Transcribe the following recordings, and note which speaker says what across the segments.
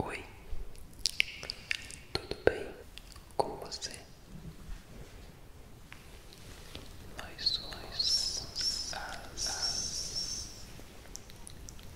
Speaker 1: Oi, tudo bem com você? Nós somos as,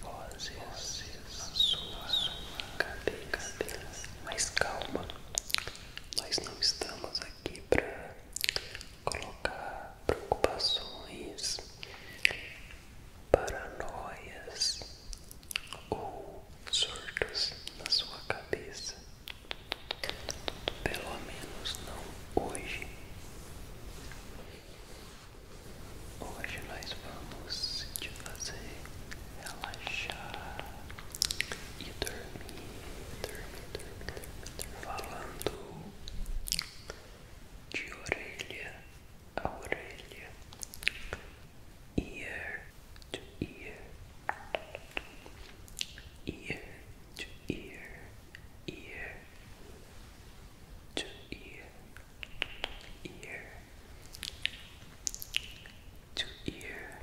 Speaker 1: vozes da sua, sua cabeça, Mas calma, nós não estamos aqui para colocar preocupações, paranoias ou surtos na sua cabeça. Pelo menos não hoje. Hoje nós vamos te fazer relaxar e dormir, dormir, dormir, dormir, dormir. falando de orelha a orelha, ear to ear, ear to ear, ear to ear, ear to ear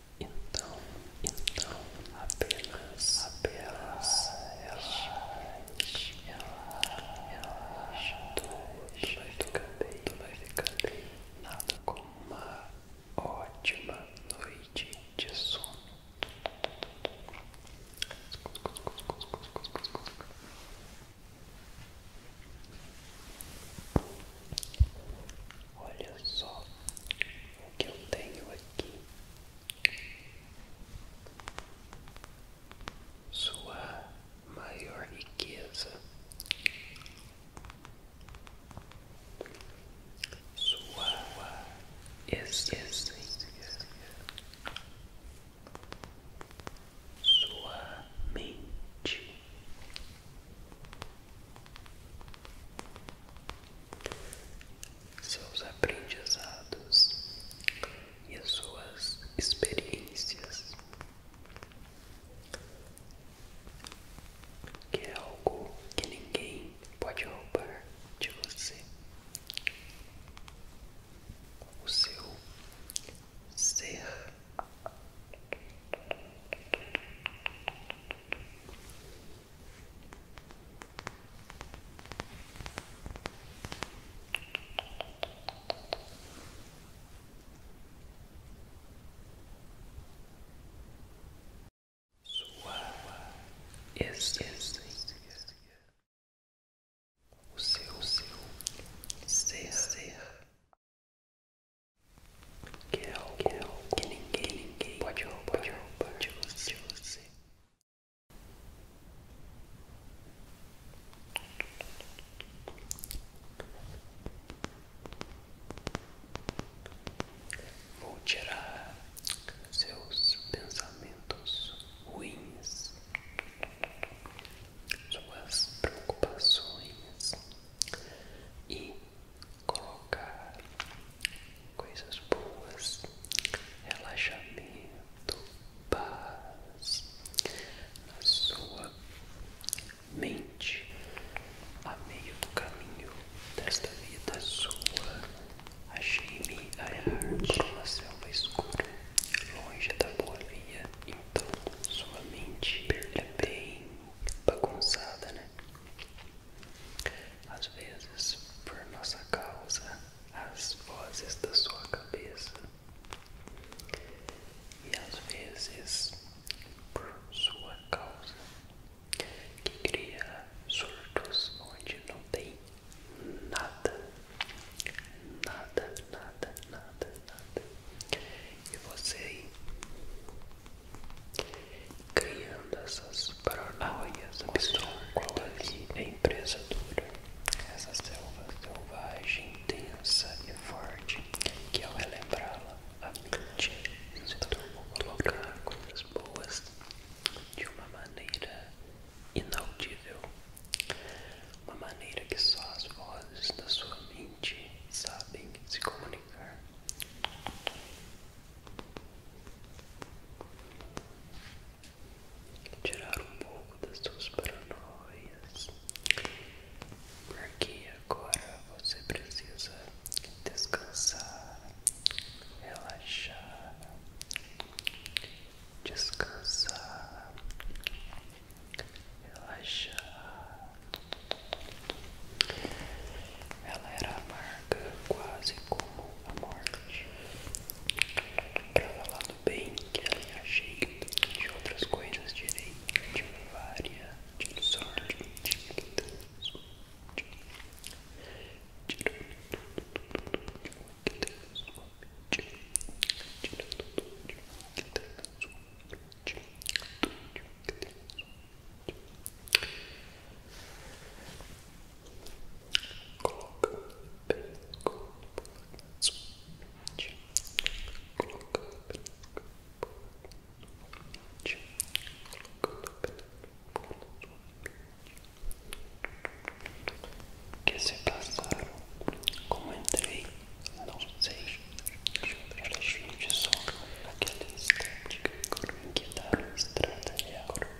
Speaker 1: Então, então, apenas, apenas ela ela ela tudo vai ficar bem, tudo vai ficar bem, nada como uma ótima noite de sono. Olha só o que eu tenho aqui. Sua maior riqueza, sua essência, sua mente seus aprendizados e as suas experiências, que é algo que ninguém pode roubar de você. O seu ser. Sua esse, o seu seu ser, ser que é algo que ninguém, ninguém pode roubar, pode roubar de você. Vou tirar seus pensamentos ruins, suas preocupações e colocar coisas boas, relaxamento, paz na sua mente, a meio do caminho desta vida sua. Achei-me a arte uma selva escura, longe da boa via. Então, sua mente é bem bagunçada, né? Às vezes, por nossa causa, as vozes da sua cabeça, e às vezes, por sua causa, que cria surtos onde não tem nada, nada, nada, nada, nada, e você criando essas paranoias absurdas e a empresa dura, essa selva selvagem, intensa e forte, que ao relembrá-la, a mente se tornou colocar coisas boas de uma maneira inaudível, uma maneira que só as vozes da sua mente sabem se comunicar tirar um pouco das suas paranoias, porque agora você precisa descansar, relaxar, descansar, relaxar. Ela era amarga, quase como a morte. Pra falar do bem que ela me ajeita, de outras coisas direi, de vária, de sorte, de Deus. de uma Coloca bem com Coloca bem que se passaram como entrei, não sei, elas vêm de som, aquela estética que dá estrada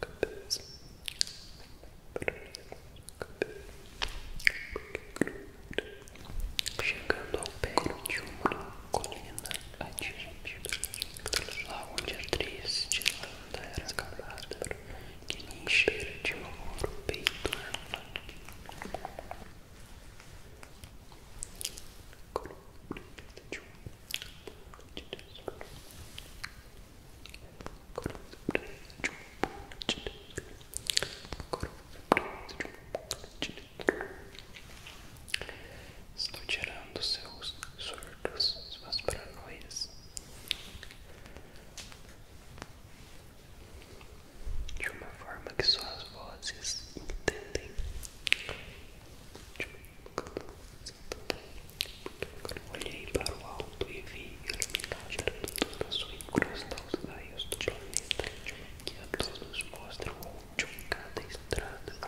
Speaker 1: cabeça. Chegando ao pé de uma colina atingida, lá onde a triste landa era escalada, que lhe enchera de horror o peito. De um Estou tirando seus surtos, suas paranoias. De uma forma que só as vozes entendem. Olhei para o alto e vi iluminados por toda a sua encrustação os raios do planeta que a todos mostra onde um cada estrada.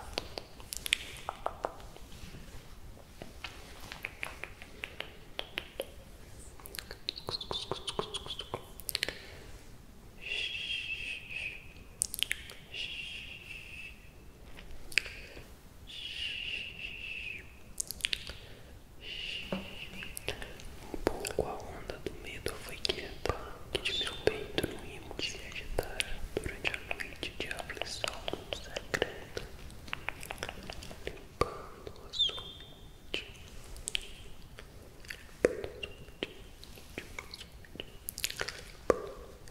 Speaker 1: Um pouco a onda do medo foi quieta, que de meu peito no rimo se agitara durante a noite de aflição secreta, limpando a sua mente. Limpando a sua mente. Limpando a sua mente.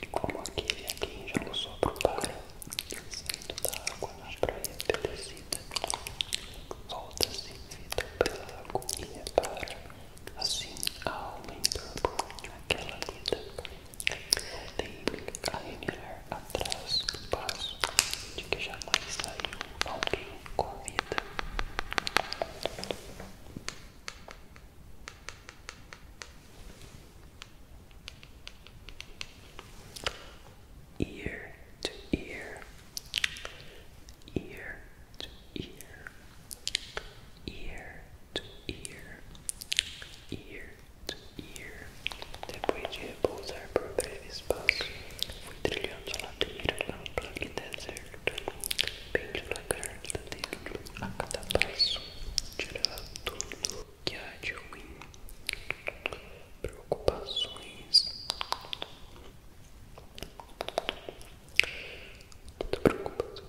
Speaker 1: E como aquele a quem já lançou pro para, saindo da água na praia pelecida, volta-se vida pela agonia para Assim, a alma entornou um aquela vida teve a remir atrás do passo de que jamais saiu alguém com a vida. Ear to ear, ear to ear, ear to ear, ear to ear. Depois de repousar por breve espaço, fui trilhando a ladeira ampla e deserto, bem devagar da dentro a cada passo, tirava tudo que há de ruim, preocupações. Toda preocupação,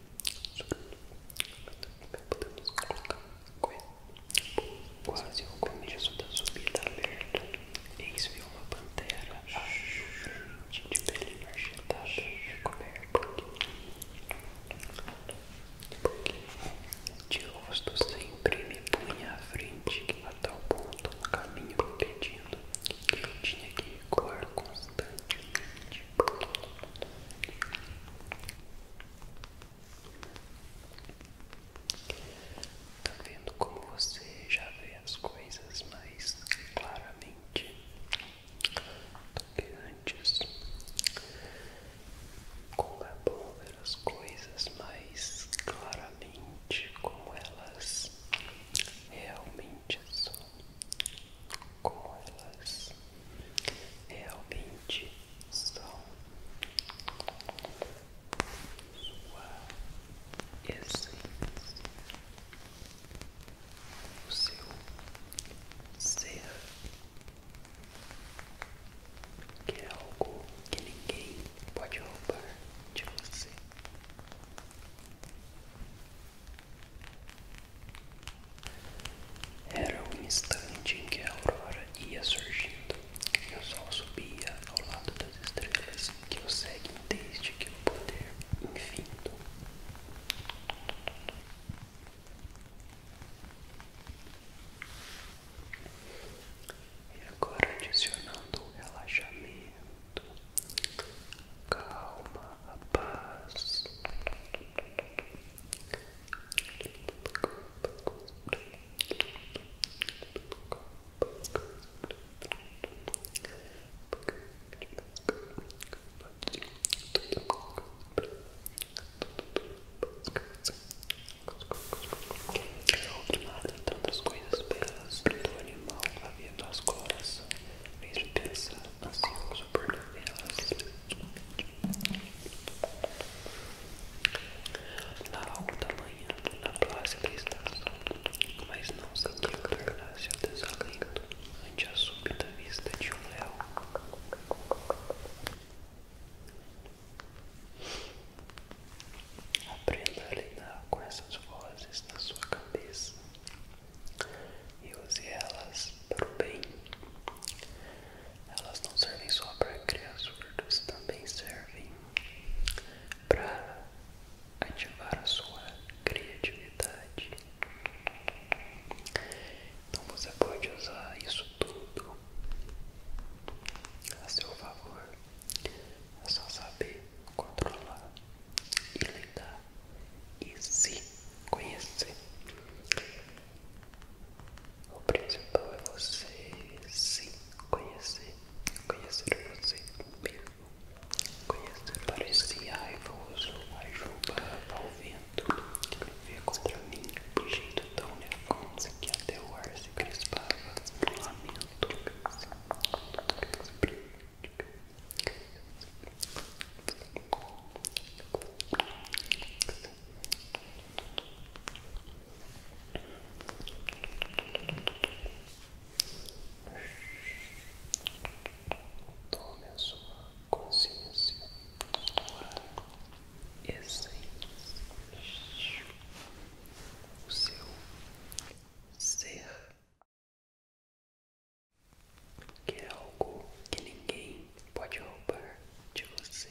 Speaker 1: Podemos colocar quase o começo da subida aberta. Eis viu uma pantera de pele marchitada, coberta de rosto sempre me punha à frente, a tal ponto no caminho me pedindo que eu tinha que recuar constantemente. Tá vendo como você já vê as coisas mais claramente do que antes? Como é bom ver as coisas mais claramente como elas realmente são, como elas realmente são sua essência, o seu ser, que é algo que ninguém pode roubar de você. Era o instante em que a aurora ia surgindo e o sol subia ao lado das estrelas que o seguem desde que o poder infinito. E agora adicionando relaxamento, calma, a paz, Ultimada tantas então, coisas belas do animal havia nas cores, mesmo pensar as supernovelas. Na alta manhã, na plácida estação, mas não sabia governar seu desalento ante a súbita vista de um léu. Aprenda a lidar com essas vozes na sua cabeça e use elas para o bem. Elas não servem só para criar surdos, também servem para ativar a sua criatividade. Então você pode usar isso tudo a seu favor. É só saber controlar e lidar e se conhecer. O principal é você se conhecer, conhecer você mesmo, conhecer parecer raivoso, a juba ao vento, viver contra mim de jeito tão nervoso que até o ar se crispava, lamento, Tome a sua consciência, sua essência, o seu ser que é algo que ninguém pode roubar de você.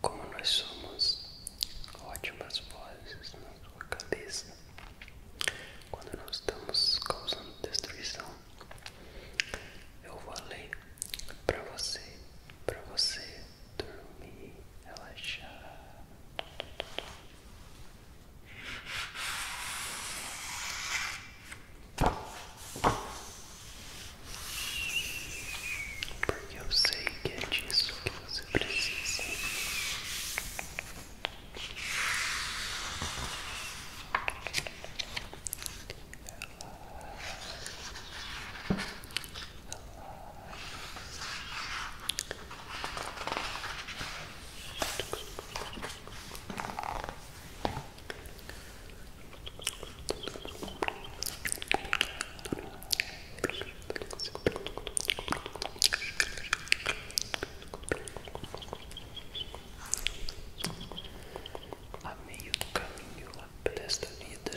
Speaker 1: Como nós somos ótimas vozes na sua cabeça, quando nós estamos causando destruição, eu vou além para você, para você dormir, relaxar eu sei que é disso que você precisa. A meio do caminho desta vida,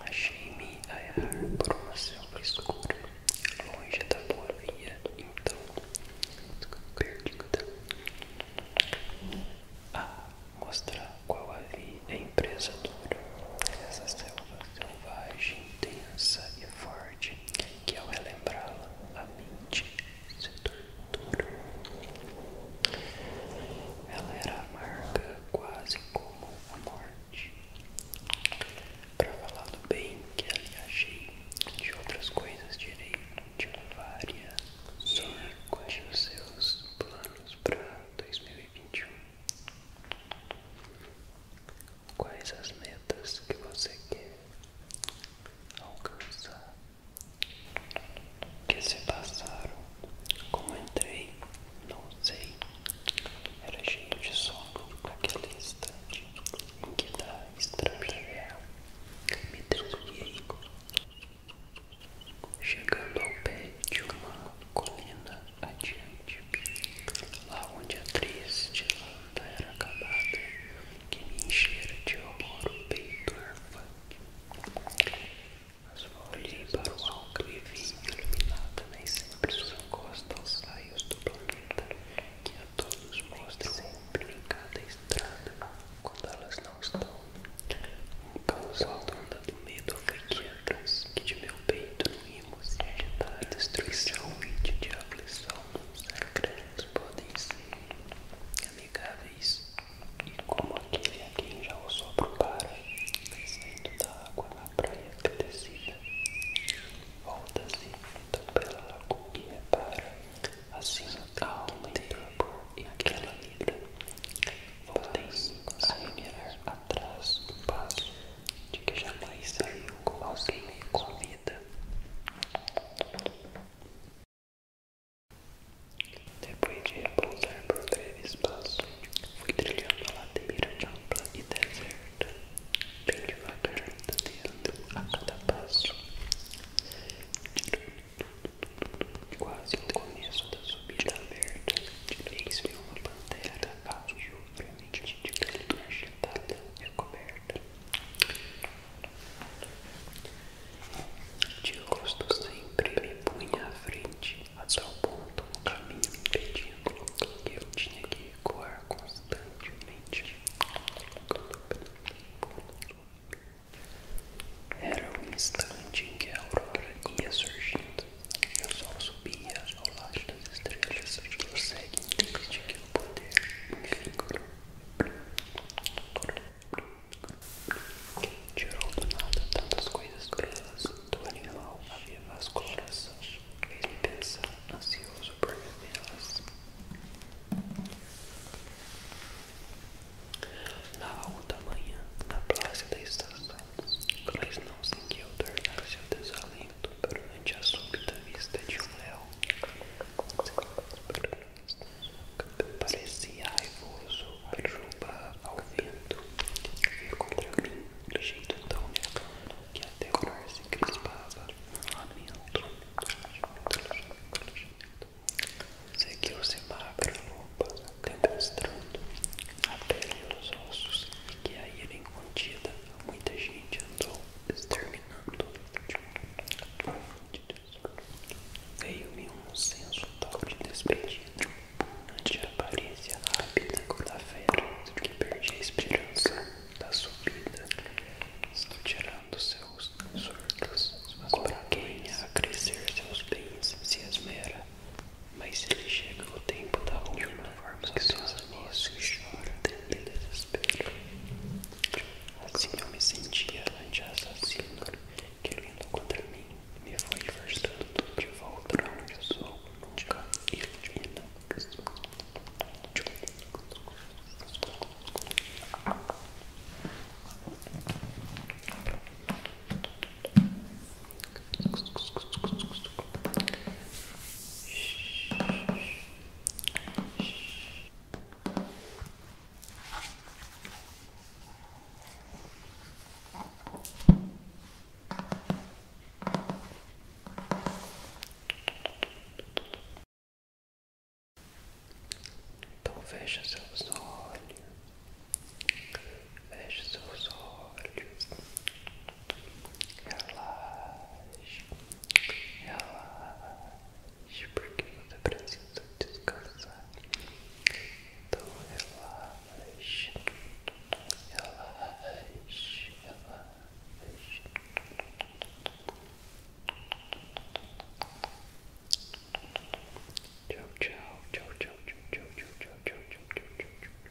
Speaker 1: achei-me a errar por uma selva escura, longe da boa via, então perdida. A ah, mostrar na qual ali é a empresa dura. Essa selva selvagem, densa e forte, que ao relembrá-la, a mente se tortura. Ela era amarga, quase como a morte. Para falar do bem que ali achei, de outras coisas direi de várias, só os seus planos para 2021. Quais as metas que você quer alcançar? Que se passaram? Como entrei? Não sei. Era cheio de sono naquele instante em que da estrada real me desviei. Chegando ao pé de uma colina adiante, lá onde a triste landa era acabada, que me enchera de amor o peito arfante. Mas olhei para o alto e vi iluminada nem sempre sua encosta aos raios do planeta, que a todos mostra sempre em cada estrada, quando elas não estão, um causal do medo afogueadas que de meu peito no rimo se agitaram. destruição e de aflição nos sacrantes podem ser amigáveis. E como aquele a quem já o sopro para, descendo da água na praia crescida, volta-se então pela lagoa e repara, assim a alma e aquela vida, voltem a remerar a atrás do passo de que jamais saiu com alguém com vida. Depois de repousar por breve espaço, fui trilhando a ladeira ampla e deserta, bem devagar, tateando a cada passo. tudo, tudo, tudo, de Quase no começo da subida aberta, de vez vi uma pantera trabalho tá, permite de brilhante toda tá recoberta de rosto sempre me punha à frente a tal ponto no caminho impedindo que eu tinha que ecoar constantemente era o instante em que a aurora ia surgindo eu só subia ao lado das estrelas. Consegue desde que o poder enfim. Tirou do nada tantas coisas belas do animal. Havia nas coração. Fez-me pensar, ansioso por revê-las. Na alta manhã, na praça da estação, olhos, mas não seguiu tornar seu desalento perante a súbita vista de um leão. Parecia raivoso, arruba ao vento, veio contra mim de jeito tão negro que até o ar se crispava no lamento. Seguiu-se magra loba demonstrando a pele e os ossos e que aí vem é contida muita gente andou exterminando. Veio-me um senso tal de despedido ante a aparência rápida da fera que perdi a esperança da subida, estou tirando seus surtos, mas para quem a crescer seus bens se esmera, mas ele chega o tempo da ruína, né? que seus amigos choram e desesperam. Assim eu me sentia ante assassino, que vindo contra mim, me foi forçando de volta pra onde eu sou, nunca e não. Então fecha seus olhos. Feche seus olhos. Relaxe. Relaxe. Porque você precisa descansar. Então relaxe. Relaxe. Relaxe. Tchau, tchau, tchau, tchau, tchau, tchau, tchau, tchau, tchau, tchau, tchau, tchau.